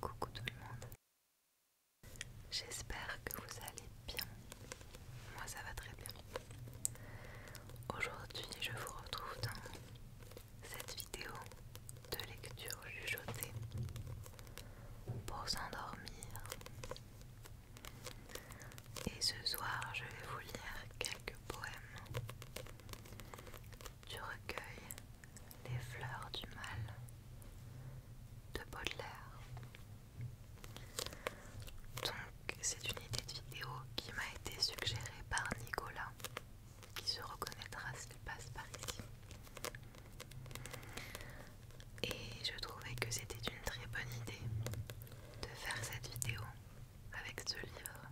Coucou tout le monde. J'espère que vous allez bien. Moi ça va très bien. Aujourd'hui je vous retrouve dans cette vidéo de lecture jugeotée pour s'endormir. Et ce soir je vais vous lire quelques poèmes du recueil les fleurs du mal de Baudelaire. Donc, c'est une idée de vidéo qui m'a été suggérée par Nicolas, qui se reconnaîtra s'il passe par ici. Et je trouvais que c'était une très bonne idée de faire cette vidéo avec ce livre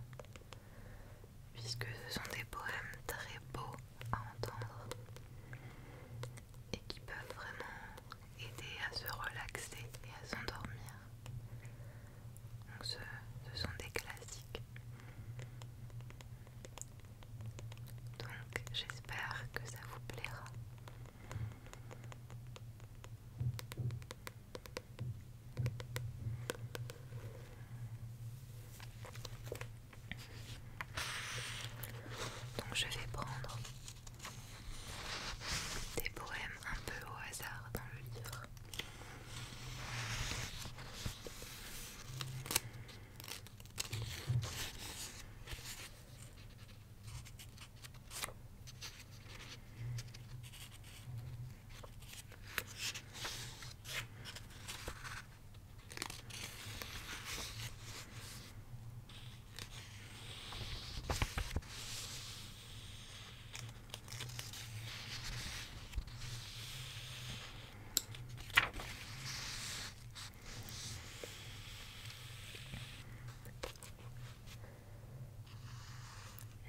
puisque ce sont des poèmes très beaux à entendre et qui peuvent vraiment aider à se relaxer et à s'endormir. Donc ce, sont des classiques. Donc j'espère que ça vous plaira. Donc je vais prendre des poèmes un peu au hasard dans le livre.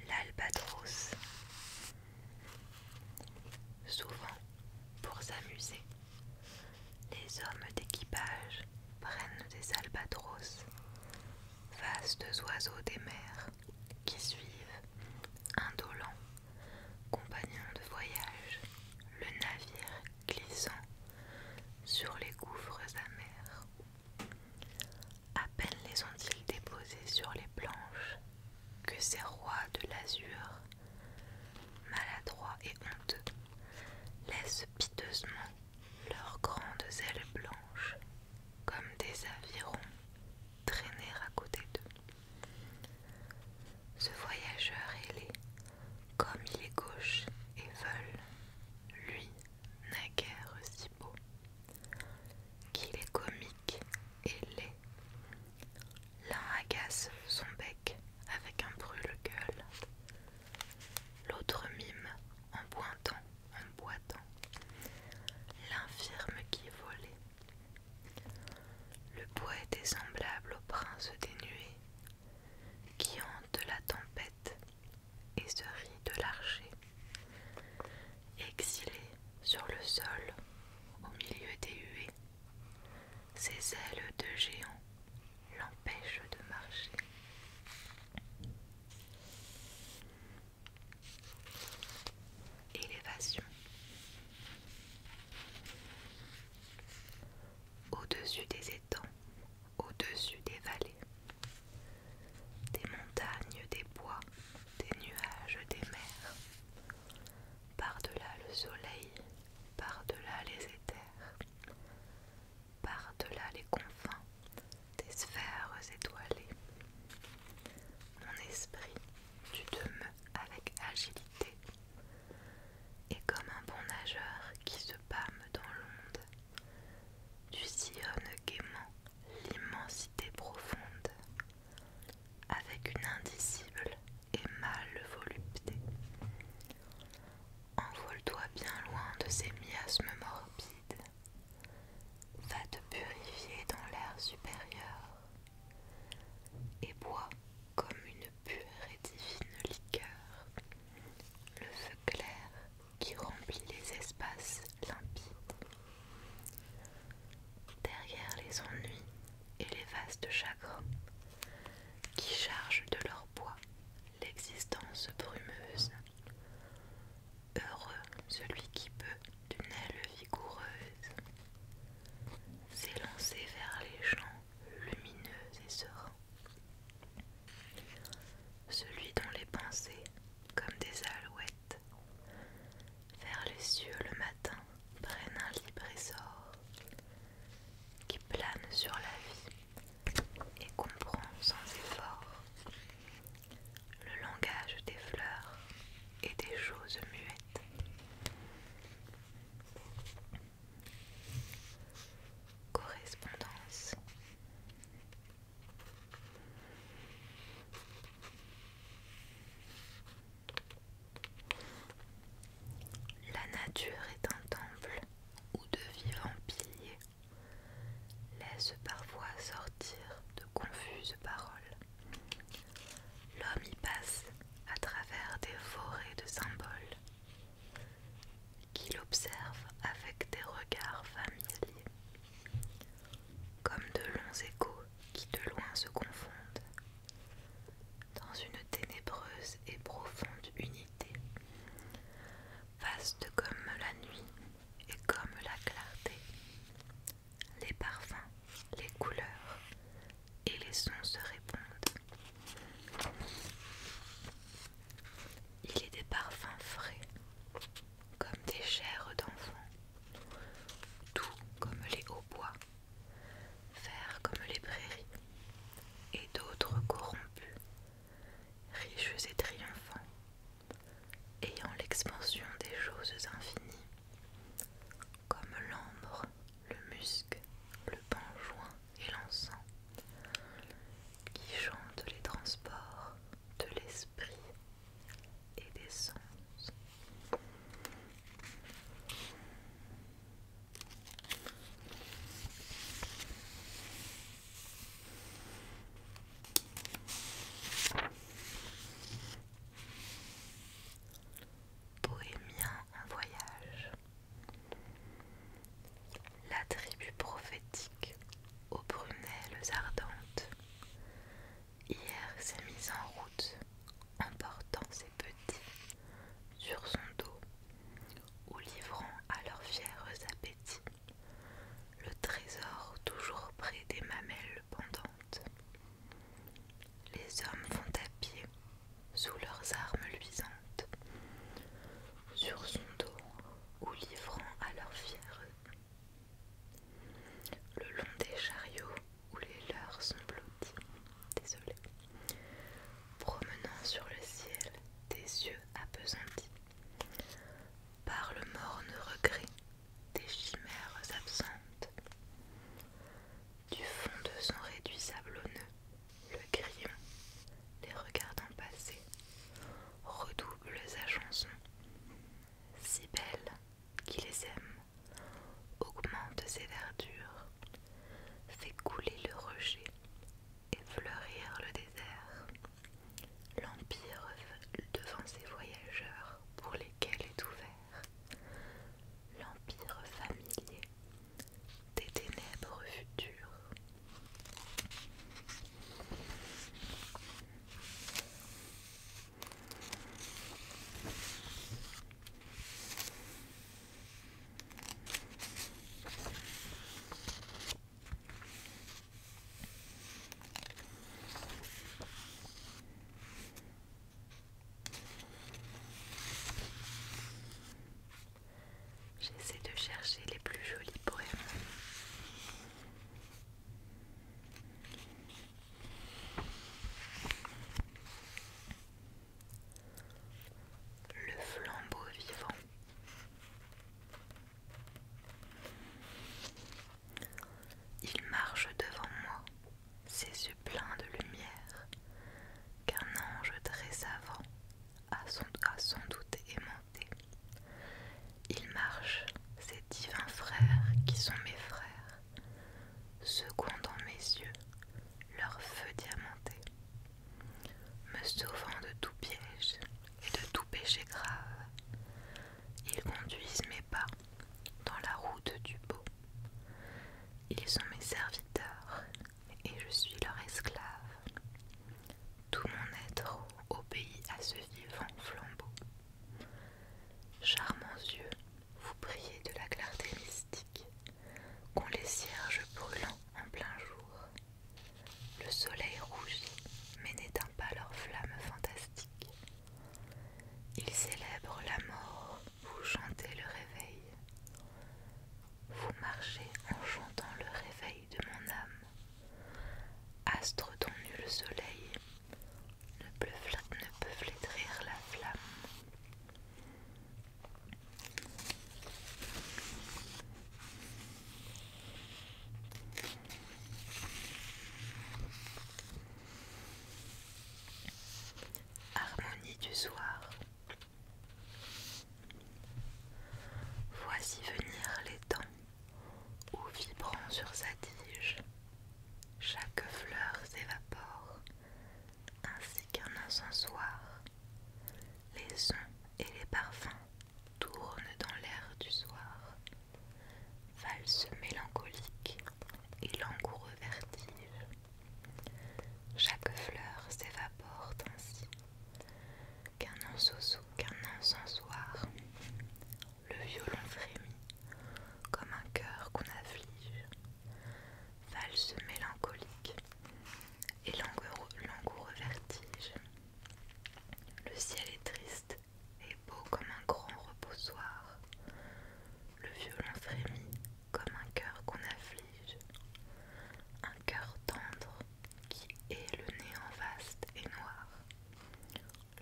L'albatros, souvent pour s'amuser, les hommes d'équipage prennent des albatros, vastes oiseaux des mers, qui suivent, indolents, compagnons de voyage, le navire glissant sur les gouffres amers. À peine les ont-ils déposés sur les planches que ces rois de l'azur maladroits et honteux, laissent piteusement leurs grandes ailes blanches, comme des avirons, traîner à côté d'eux. Ce voyageur ailé, comme il est gauche et veule, lui n'a guère si beau, qu'il est comique et laid, L'un agace son bec avec un brûle-gueule, l'autre mime en boitant, en boitant, l'infirme qui volait. Le poète est semblable au prince des nuées qui hante la tempête et se rit de l'archer, exilé sur le sol au milieu des huées. Ses ailes de géant l'empêchent de marcher. Élévation. Au-dessus des étangs, au-dessus des vallées, des montagnes, des bois, des nuages, des mers, par-delà le soleil, par-delà les éthers, par-delà les confins des sphères étoilées. Mon esprit, tu demeures avec agilité, et comme un bon nageur qui se pâme dans l'onde, tu sillonnes gaiement l'immensité profonde, avec une indicible et le volupté. Envole-toi bien loin de ces miasmes morbides. Va te purifier dans l'air supérieur et bois comme une pure et divine liqueur le feu clair qui remplit les espaces limpides. Derrière les ennuis et les vastes chagrins qui chargent de leur poids l'existence brumeuse. Heureux celui qui peut, d'une aile vigoureuse, s'élancer vers les champs lumineux et sereins. Celui dont les pensées, comme des alouettes, vers les cieux le matin, prennent un libre essor, qui plane sur la vie et comprend sans effort le langage des fleurs et des choses muettes. Correspondance. La nature est un temple où de vivants piliers laissent parfois sortir de confuses paroles. L'homme y passe à travers des forêts de symboles qu'il observe avec des regards familiers, comme de longs échos qui de loin se confondent dans une ténébreuse et profonde unité, vaste comme la nuit et comme la clarté. Les parfums, les couleurs et les sons se répondent. Il est des parfums frais, comme des chairs d'enfants, doux comme les hauts bois Fers comme les prairies, et d'autres corrompus, riches et triomphants, ayant l'expansion des choses infinies, comme l'ambre, le musc, le joint et l'encens, qui chantent les transports de l'esprit et des sens. Bohémien en voyage. La tribu prophétique aux brunelles ardentes hier s'est mise en route en ses petits sur son dos ou livrant à leurs fiers appétits le trésor toujours près des mamelles pendantes. Les hommes vont à pied sous leurs armes luisantes, sur son dos ou livrant à leurs fiers. Le long des chariots où les leurs sont blottis, désolé promenant sur le ciel Des yeux apesantis par le morne regret des chimères absentes. Du fond de son réduit sablonneux, le grillon, les regardant passer, redouble sa chanson. Si belle qui les aime, augmente ses verdures, fait couler le rejet et fleurir le désert. L'Empire devant ses voyageurs pour lesquels est ouvert l'Empire familier des ténèbres futures. J'essaie de chercher les plus jolis poèmes le flambeau vivant. Il marche devant moi, ses yeux pleins de lumière, qu'un ange très savant a sans, doute aimanté. Il marche, Ses divins frères qui sont mes frères, secouant dans mes yeux leur feu diamanté. Me sauvant de tout piège et de tout péché grave, ils conduisent mes pas dans la route du beau. Ils sont mes serviteurs et je suis leur esclave. Tout mon être obéit à ce vivant flambeau. Charmants yeux, vous priez de la clarté mystique Qu'ont les cierges brûlants en plein jour. Le soleil rougit, mais n'éteint pas leur flamme fantastique Ils célèbrent la mort, vous chantez le réveil. Vous marchez en chantant le réveil de mon âme. Astre dont nul soleil ne peut flétrir la flamme. Harmonie du soir. Voici venir les temps où vibrant sur sa tige, chaque fleur s'évapore, ainsi qu'un incensoir les sons et les parfums tournent dans l'air du soir, valse mélancolique et langoureux vertige. Chaque fleur s'évapore ainsi qu'un sous qu'un encensoir. Le violon frémit comme un cœur qu'on afflige, valse mélancolique et langoureux vertige. Le ciel est triste et beau comme un grand reposoir. Le violon frémit comme un cœur qu'on afflige. Un cœur tendre qui est le néant vaste et noir.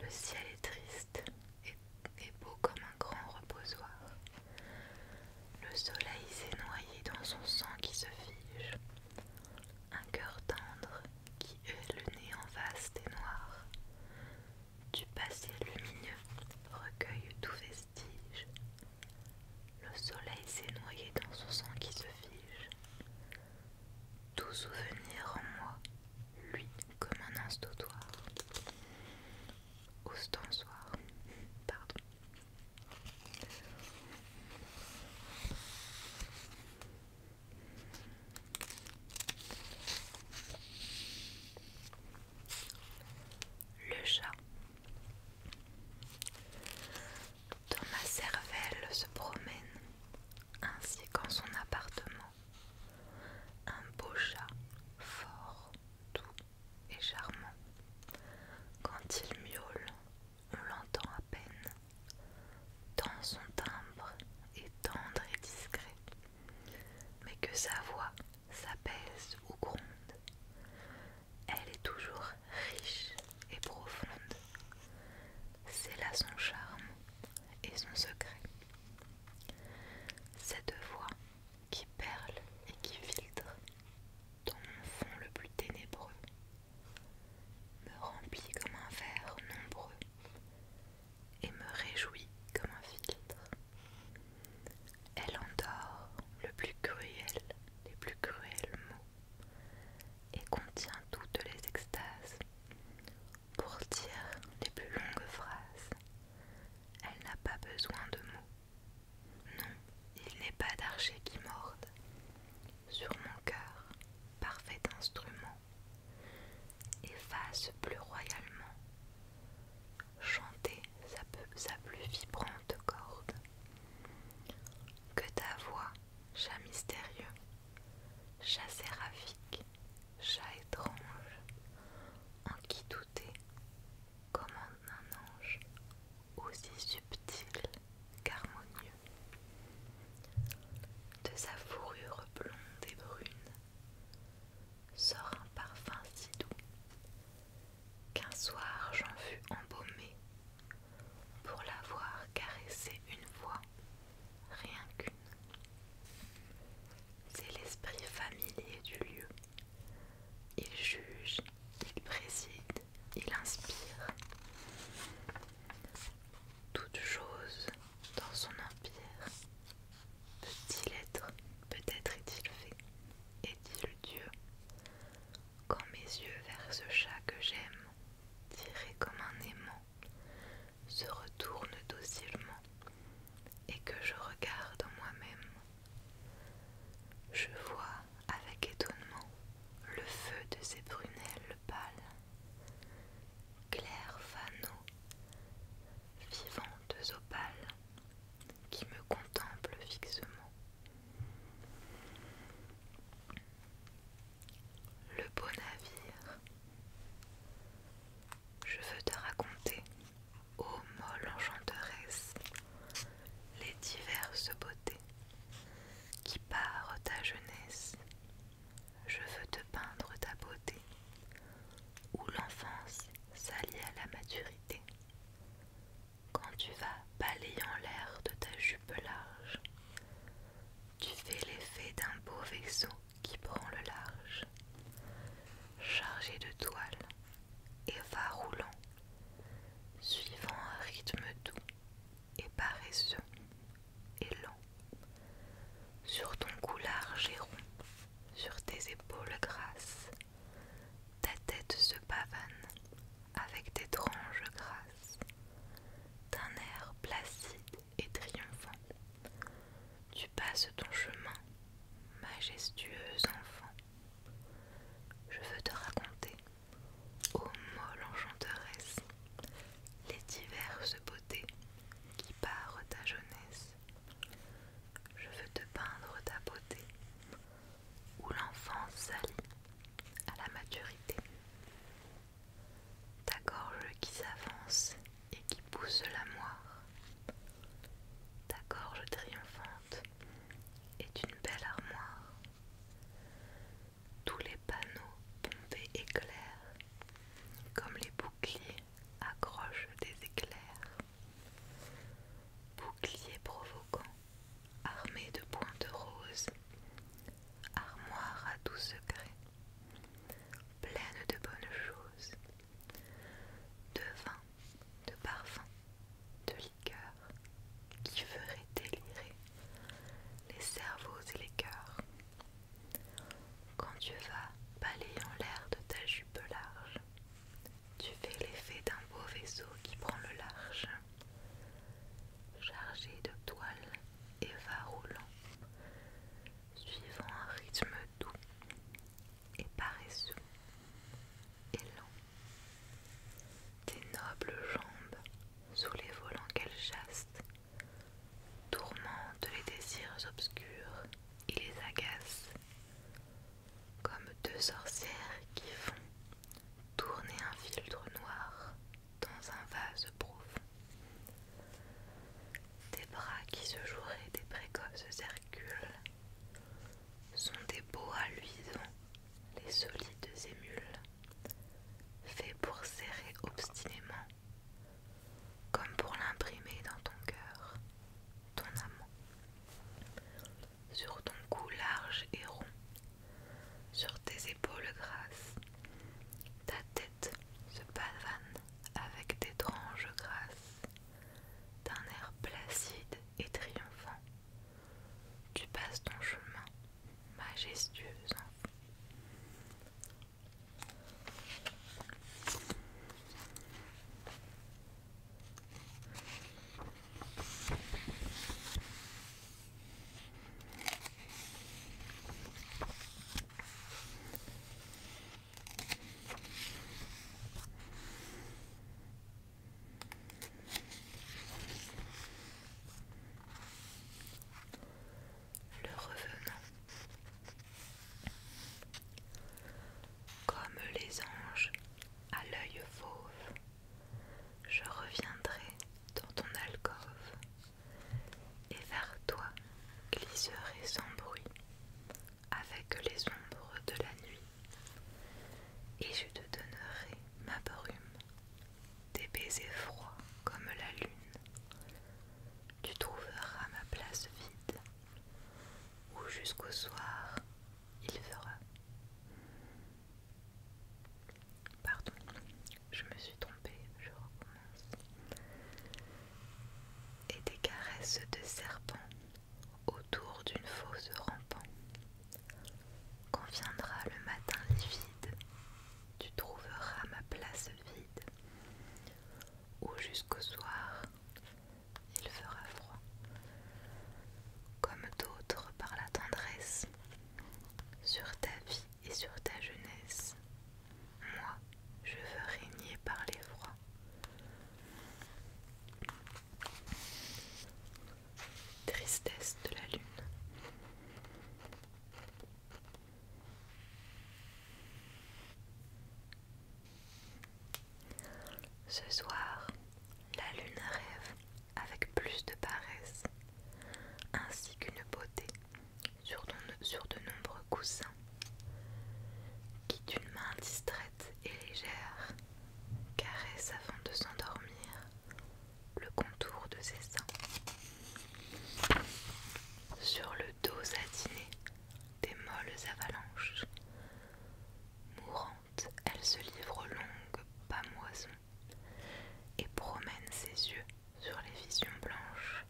Le ciel est triste et beau comme un grand reposoir. Le soleil s'est noyé dans son sang qui se fige. Un cœur tendre qui est le nez en vaste et noir. Du passé lumineux recueille tout vestige. Le soleil s'est noyé dans son sang qui se fige. Tout souvenir en moi, lui comme un instotoire. Ostensoir, pardon. Le chat. Dans ma cervelle se promène, ainsi qu'en son appartement, un beau chat, fort, doux et charmant. Quand il miaule, on l'entend à peine, Dans son timbre est tendre et discret, mais que sa voix s'apaise ou gronde. Elle est toujours riche et profonde. C'est là son charme et son secret. Cette voix qui perle et qui filtre dans mon fond le plus ténébreux me remplit comme un verre nombreux et me réjouit comme un filtre. Elle endort le plus cruel, les plus cruels mots et contient toutes les extases. Pour dire les plus longues phrases, elle n'a pas besoin de mots. Non, il n'est pas d'archer qui morde. Sur mon cœur, parfait instrument, efface plus royalement. Chanter sa, plus vibrante corde. Que ta voix, chat mystérieux, chat séraphique, chat étrange, en qui est, comme en un ange aussi subtil qu'harmonieux. De sa fourrure blonde et brune sort un parfum si doux qu'un soir j'en fus embaumé pour l'avoir caressé une fois, rien qu'une. C'est l'esprit familier du lieu. Il juge, il préside, il inspire toute chose dans son empire. Peut-il être, peut-être est-il fait, est-il Dieu, quand mes yeux vers ce chat que j'aime, tiré comme un aimant, se retournent docilement et que je regarde en moi-même, je vois avec étonnement le feu de ses brunelles pâles. Clairs, fanot vivantes opales, qui me contemplent fixement. Le beau navire. Je veux te raconter, ô molle enchanteresse, les diverses beautés qui parent ta jeunesse. Je veux te peindre ta beauté, où l'enfance s'allie à la maturité. Quand tu vas balayant l'air de ta jupe large, tu fais l'effet d'un beau vaisseau qui prend le large, chargé de toile, et va roulant, suivant un rythme doux et paresseux et lent. Sur ton cou large et rond, sur tes épaules grasses, ta tête se pavane avec d'étranges grâces, d'un air placide et triomphant. Tu passes ton chemin, majestueux enfant. Je veux te raconter Ô molle enchanteresse, les diverses beautés qui parent ta jeunesse, je veux te peindre ta beauté, où l'enfance s'allie à la maturité. Ta gorge qui s'avance et qui pousse la moire, ta gorge triomphante est une belle armoire tous les panneaux pompés éclairs, comme les boucliers accrochent des éclairs. Boucliers provoquants, armés de pointes roses, armoire à tout secret, pleine de bonnes choses, de vin, de parfum, de cœur qui ferait délirer les cerveaux et les cœurs. Quand tu vas en l'air de ta jupe large, tu fais l'effet d'un beau vaisseau qui prend le large, chargé de toile et va roulant, suivant un rythme doux et paresseux et lent. Des nobles jambes, sous les volants qu'elles chassent, tourmentent les désirs obscurs et les agacent, comme deux sorcières qui font tourner un filtre noir dans un vase profond. Tes bras qui se joueraient des précoces circulent sont des beaux luisants les solides émules, faits pour serrer obstinément, comme pour l'imprimer dans ton cœur, ton amant, sur ton cou large et rond, sur tes épaules grasses, ta tête se pavane avec d'étranges grâces, d'un air placide et triomphant, tu passes ton chemin, majestueux. Le revenant. Comme les anges à l'œil fauve, je reviendrai dans ton alcôve et vers toi glisserai sans bruit avec les ombres de la nuit et je te donnerai ma brume des baisers froids comme la lune. Tu trouveras ma place vide, Ou jusqu'au soir il fera. Pardon, je me suis trompée, je recommence. Et des caresses de serpent autour d'une fosse rampant. conviendra viendra le matin livide, tu trouveras ma place vide. Ou jusqu'au soir, il fera froid. Comme d'autres par la tendresse, sur ta vie et sur ta jeunesse, moi, je veux régner par les froids. Tristesse de la lune. Ce soir, la lune rêve avec plus de paresse, ainsi qu'une beauté sur, de nombreux coussins, qui d'une main distraite et légère caresse avant de s'endormir le contour de ses seins. Sur le dos satiné des molles avalanches, mourante, elle se livre longue, longues et promène ses yeux sur les visions blanches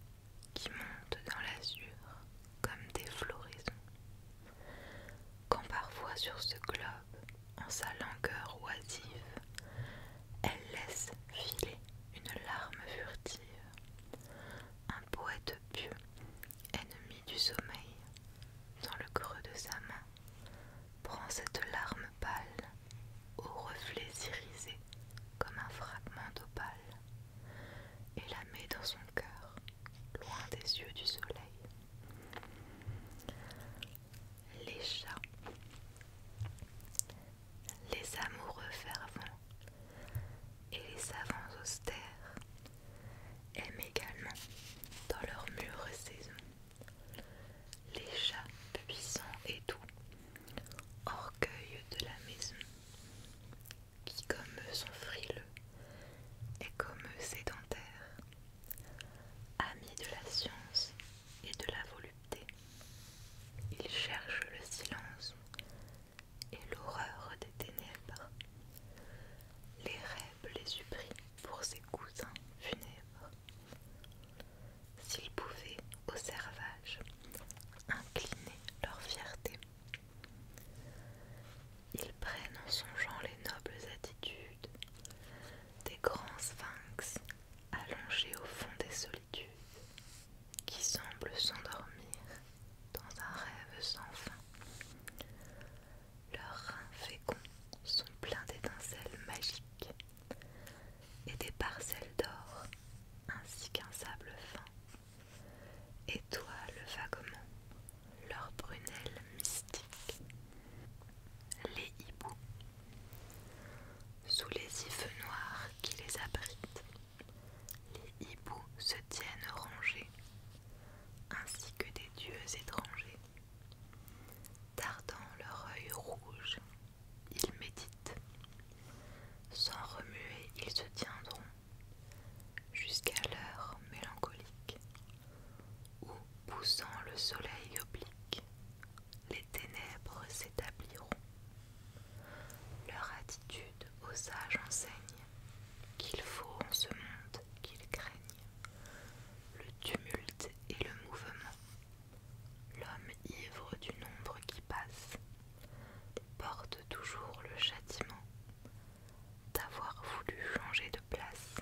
qui montent dans l'azur comme des floraisons. Quand parfois sur ce globe, en sa langueur oisive, elle laisse filer une larme furtive. Un poète pieux, ennemi du sommeil, dans le creux de sa main, prend cette larme pâle, aux reflets irisés comme un fragment d'opale, et la met dans son cœur, loin des yeux du soleil les chats, les amoureux fervents et les savants austères aiment également dans leur mûre saison les chats puissants et doux, orgueil de la maison, qui comme eux sont frileux et comme eux sédentaires, amis de la science et de la volupté. Ils cherchent le silence et l'horreur des ténèbres. Les rêves les supprient pour ses cousins funèbres. S'ils pouvaient, au servage, incliner leur fierté, ils prennent en songeant les nobles attitudes des grands sphinx Allongés au fond des solitudes, qui semblent s'endormir dans un rêve sans fin. Leurs reins féconds sont pleins d'étincelles magiques et des parcelles d'or ainsi qu'un sable fin. le vaguement leurs brunelles mystiques. Les hiboux. Sous les ifs noirs qui les abritent, les hiboux se tiennent rangés, ainsi que des dieux étrangers. Tardant leur œil rouge, ils méditent. Sans remuer, ils se tiendront jusqu'à l'heure mélancolique où, poussant le soleil oblique, les ténèbres s'établiront. Leur attitude aux sages enseigne qu'il faut en ce monde qu'ils craignent le tumulte et le mouvement, l'homme ivre du nombre qui passe, porte toujours le châtiment d'avoir voulu changer de place.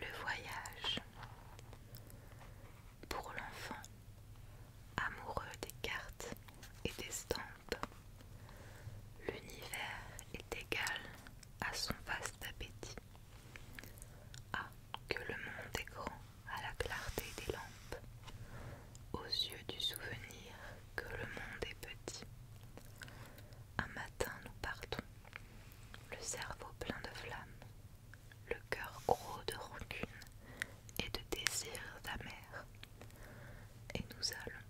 Le voyage pour l'enfant amoureux des cartes et des stands L'univers est égal à son vaste appétit. Ah, que le monde est grand à la clarté des lampes, aux yeux du souvenir que le monde est petit. Un matin nous partons, le cerveau plein de flammes, le cœur gros de rancune et de désirs amers, et nous allons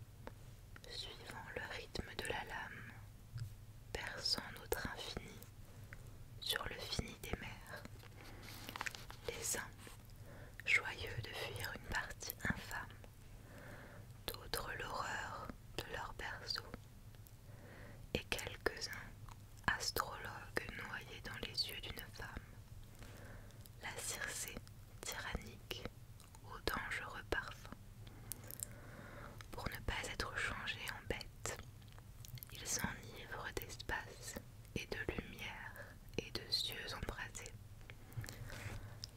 suivant le rythme de la lame, perçant notre infini sur le fini des mers. Les uns, joyeux de fuir une partie infâme, d'autres l'horreur de leur berceau, et quelques-uns, astrologues noyés dans les yeux d'une femme, la Circé tyrannique au dangereux parfum Pour ne pas être changé en bête, ils s'enivrent d'espace et de lumière et de cieux embrasés.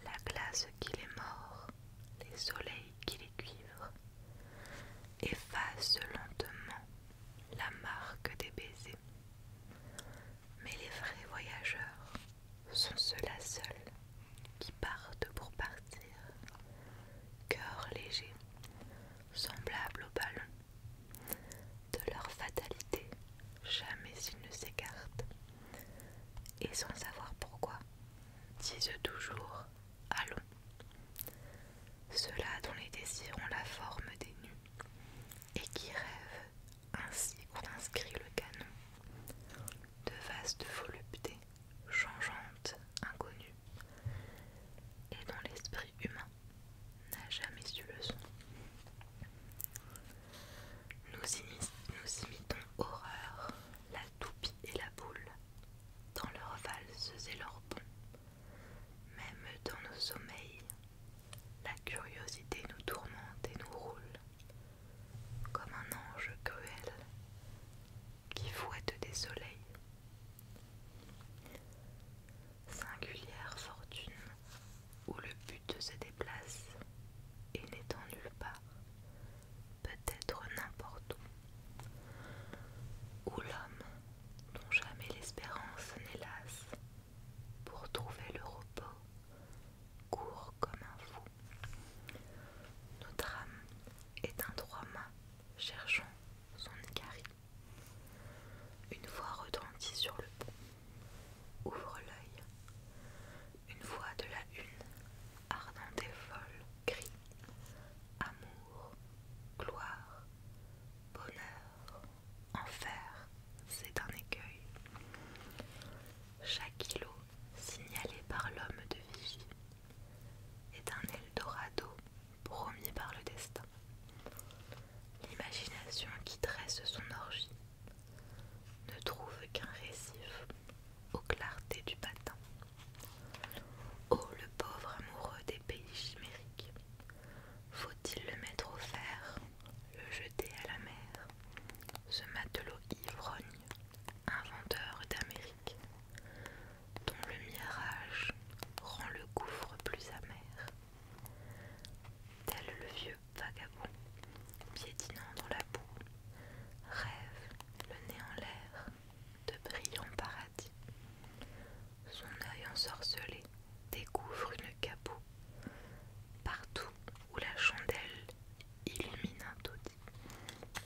La glace qui les mord, les soleils qui les cuivrent, Effacent lentement la marque des baisers. Mais les vrais voyageurs sont ceux-là seuls qui partent pour partir, cœurs légers, semblables aux ballons, De leur fatalité, jamais ils ne s'écartent. Et sans savoir pourquoi, disent toujours Allons. Ceux-là dont les désirs ont la forme des nues et qui rêve ainsi qu'on inscrit le canon de vastes voluptés changeantes, inconnues, et dont l'esprit humain n'a jamais su le son. Nous, imitons horreur, la toupie et la boule, dans leurs valses et leurs ponts, même dans nos sommeils. La curiosité nous tourmente et nous roule comme un ange cruel qui fouette des soleils. Singulière fortune où le but se déplace et n'étant nulle part, peut-être n'importe où, où l'homme dont jamais l'espérance n'est lasse pour trouver le repos, court comme un fou. Notre âme est un trois mât cherchant son écarie. Une voix retentit sur le pont. Ouvre l'œil. Une voix de la une, ardente et folle, crie Amour, gloire, bonheur, enfer, c'est un écueil. Chaque îlot signalé par l'homme de Vigie est un Eldorado promis par le destin. L'imagination qui dresse son orgie ne trouve qu'un récif aux clartés du matin. Oh le pauvre amoureux des pays chimériques, faut-il le mettre au fer le jeter à la mer, ce matelot ivrogne, inventeur d'Amérique, dont le mirage rend le gouffre plus amer, tel le vieux vagabond, piétinant dans la boue, rêve le nez en l'air de brillants paradis. Son œil ensorcelé découvre une caboue. Partout où la chandelle illumine un étonnant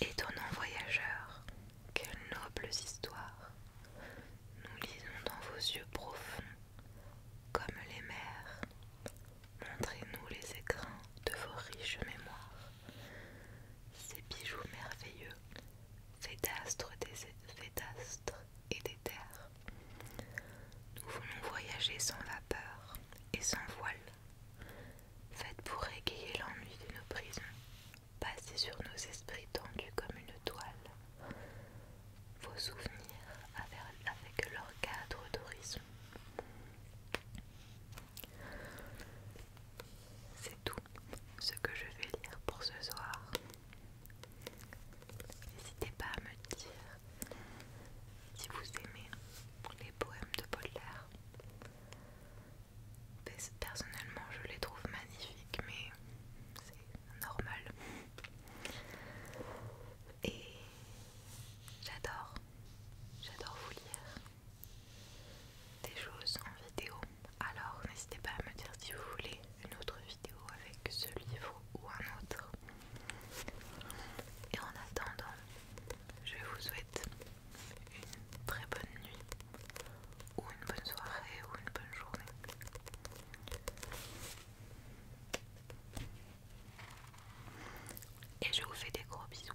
Étonnant voyageurs, quelles nobles histoires nous lisons dans vos yeux profonds, comme les mers. Montrez-nous les écrins de vos riches mémoires, ces bijoux merveilleux des d'astres et des terres. Nous voulons voyager sans vapeur et sans voile, faites pour égayer l'ennui de nos prisons, passer sur nos esprits tendus comme une toile, vos souvenirs avec leur cadre d'horizon. C'est tout ce que je vais lire pour ce soir. N'hésitez pas à me dire si vous aimez les poèmes de Baudelaire. Personnellement, je les trouve magnifiques, mais c'est normal. Et j'adore, j'adore vous lire des choses en vidéo. Alors n'hésitez pas à me dire si vous voulez une autre vidéo avec ce livre ou un autre. Et en attendant, je vous souhaite une très bonne nuit ou une bonne soirée ou une bonne journée. Et je vous fais des gros bisous.